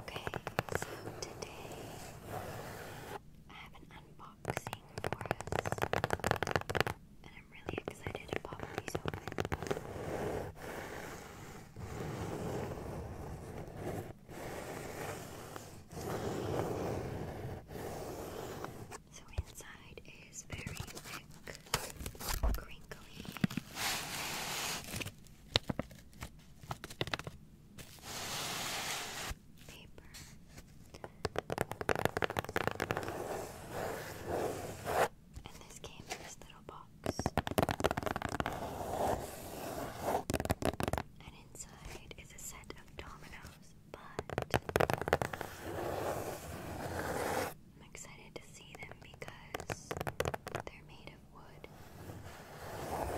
Okay, so today I have an unboxing for us, and I'm really excited to pop these open. So inside is very thick, crinkly paper. And this came in this little box. And inside is a set of dominoes, but I'm excited to see them because they're made wood. All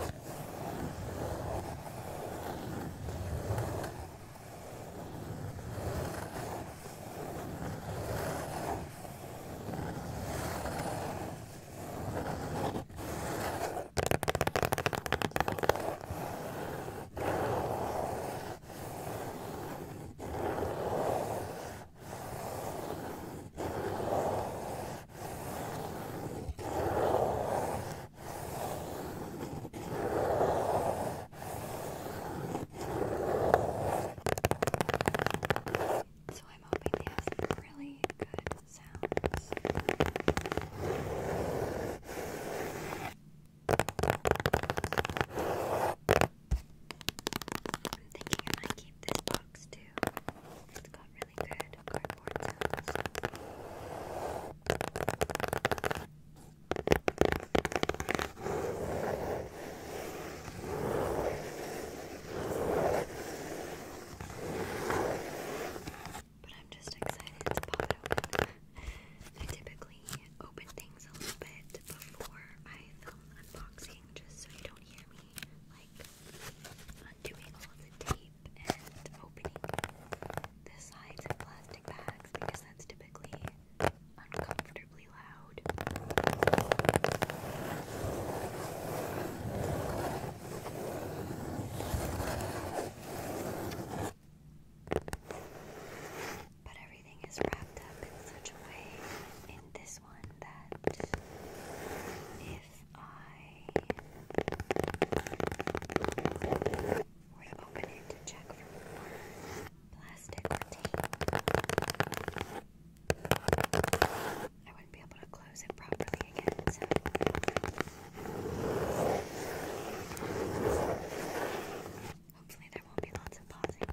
so I'm hoping they have some really good sounds. I'm thinking I might keep this box too. It's got really good cardboard sounds. But I'm just excited to pop it open. I typically open things a little bit before I film unboxing just so you don't hear me like undoing all the tape and opening the sides of plastic bags because that's typically uncomfortably loud. But everything is wrapped up in such a way in this this one if I were to open it to check for plastic or tape, I wouldn't be able to close it properly again, hopefully there won't be lots of pausing.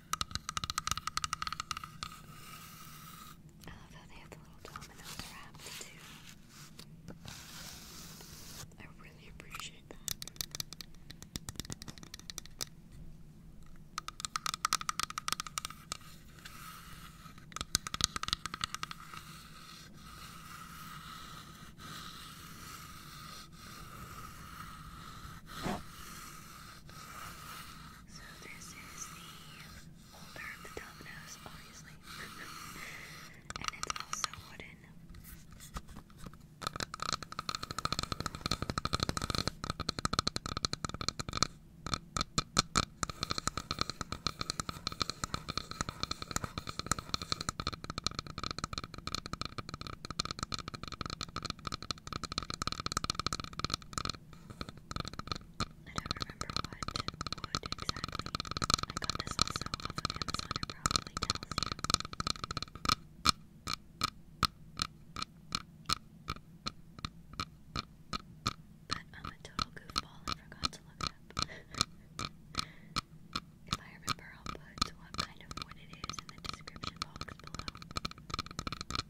I love how they have the little dominoes wrapped too. I really appreciate that. So this is the holder of the dominoes, obviously. and it's also wooden. All I don't remember what wood exactly. I got this also off of Amazon, it probably tells you. But I'm a total goofball and forgot to look up. if I remember, I'll put what kind of wood it is in the description box below.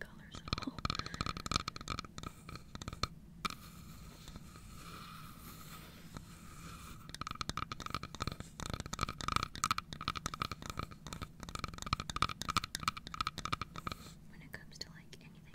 colors at all. When it comes to like anything.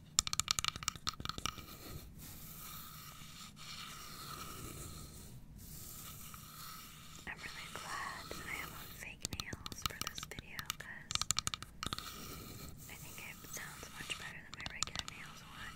I'm really glad I am on fake nails for this video because I think it sounds much better than my regular nails would.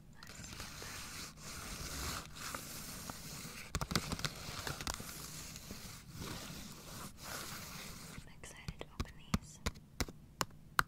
I'm excited to open these. Wow,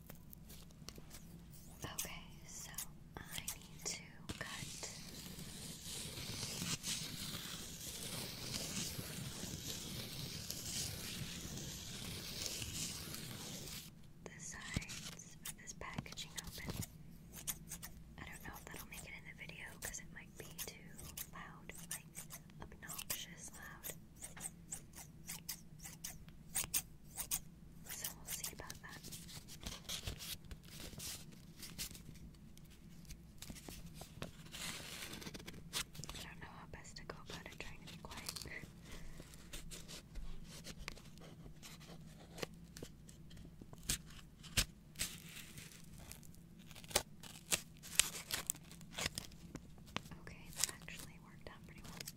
Okay, so I need to cut the sides of this packaging open. I don't know if that'll make it in the video because it might be too loud, obnoxious loud. So we'll see about that. I don't know how best to go about it trying to be quiet. Okay, that actually worked out pretty well.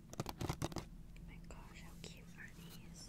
Oh my gosh, how cute are these?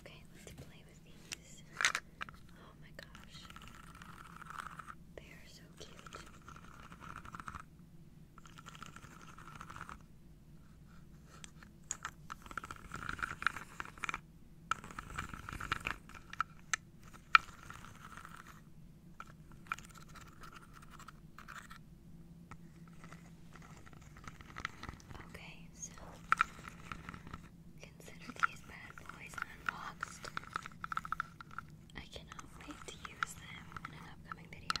Okay, let's play with these. Oh my gosh. They are so cute. Okay, so consider these bad boys unboxed. I cannot wait to use them in an upcoming video.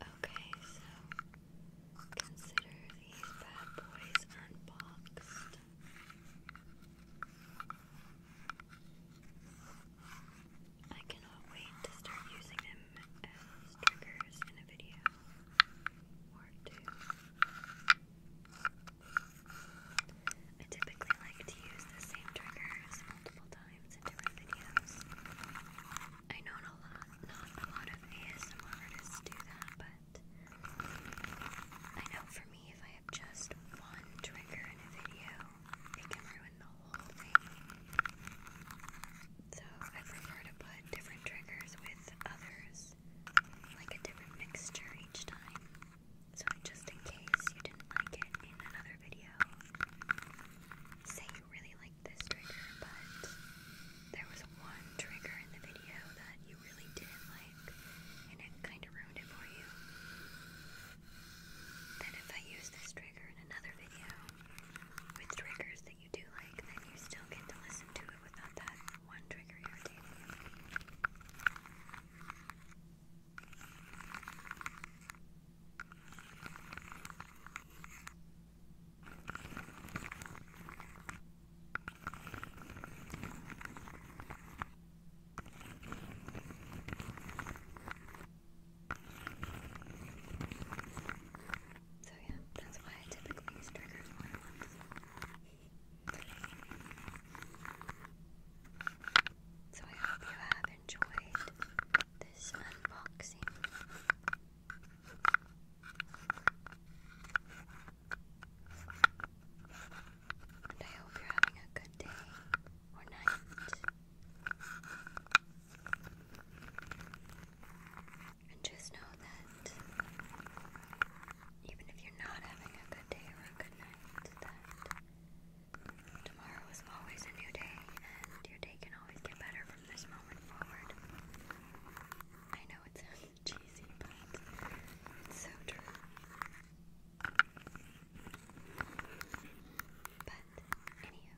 Okay, so consider these bad boys unboxed. I cannot wait to start using them as triggers in a video or two. I typically like to use the same triggers multiple times in different videos. I know not a lot of ASM artists do that, but I know for me, if I have just one trigger in a video, it can ruin the whole thing. So I prefer to put different triggers with others, like a different mixture each time. So just in case you didn't like it in another video, really liked this trigger, but there was one trigger in the video that you really didn't like, and it kind of ruined it for you. Then, if I use this trigger in another video with triggers that you do like, then you still get to listen to it without that one trigger irritating you. So yeah, that's why I typically use triggers more So I hope you have enjoyed this unboxing. And I hope you're having a good day or night. And just know that even if you're not having a good day or a good night, Tomorrow is always a new day, and your day can always get better from this moment forward. I know it cheesy, but it's so true. But, anywho,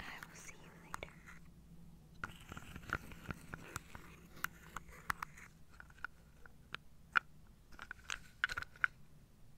I will see you later.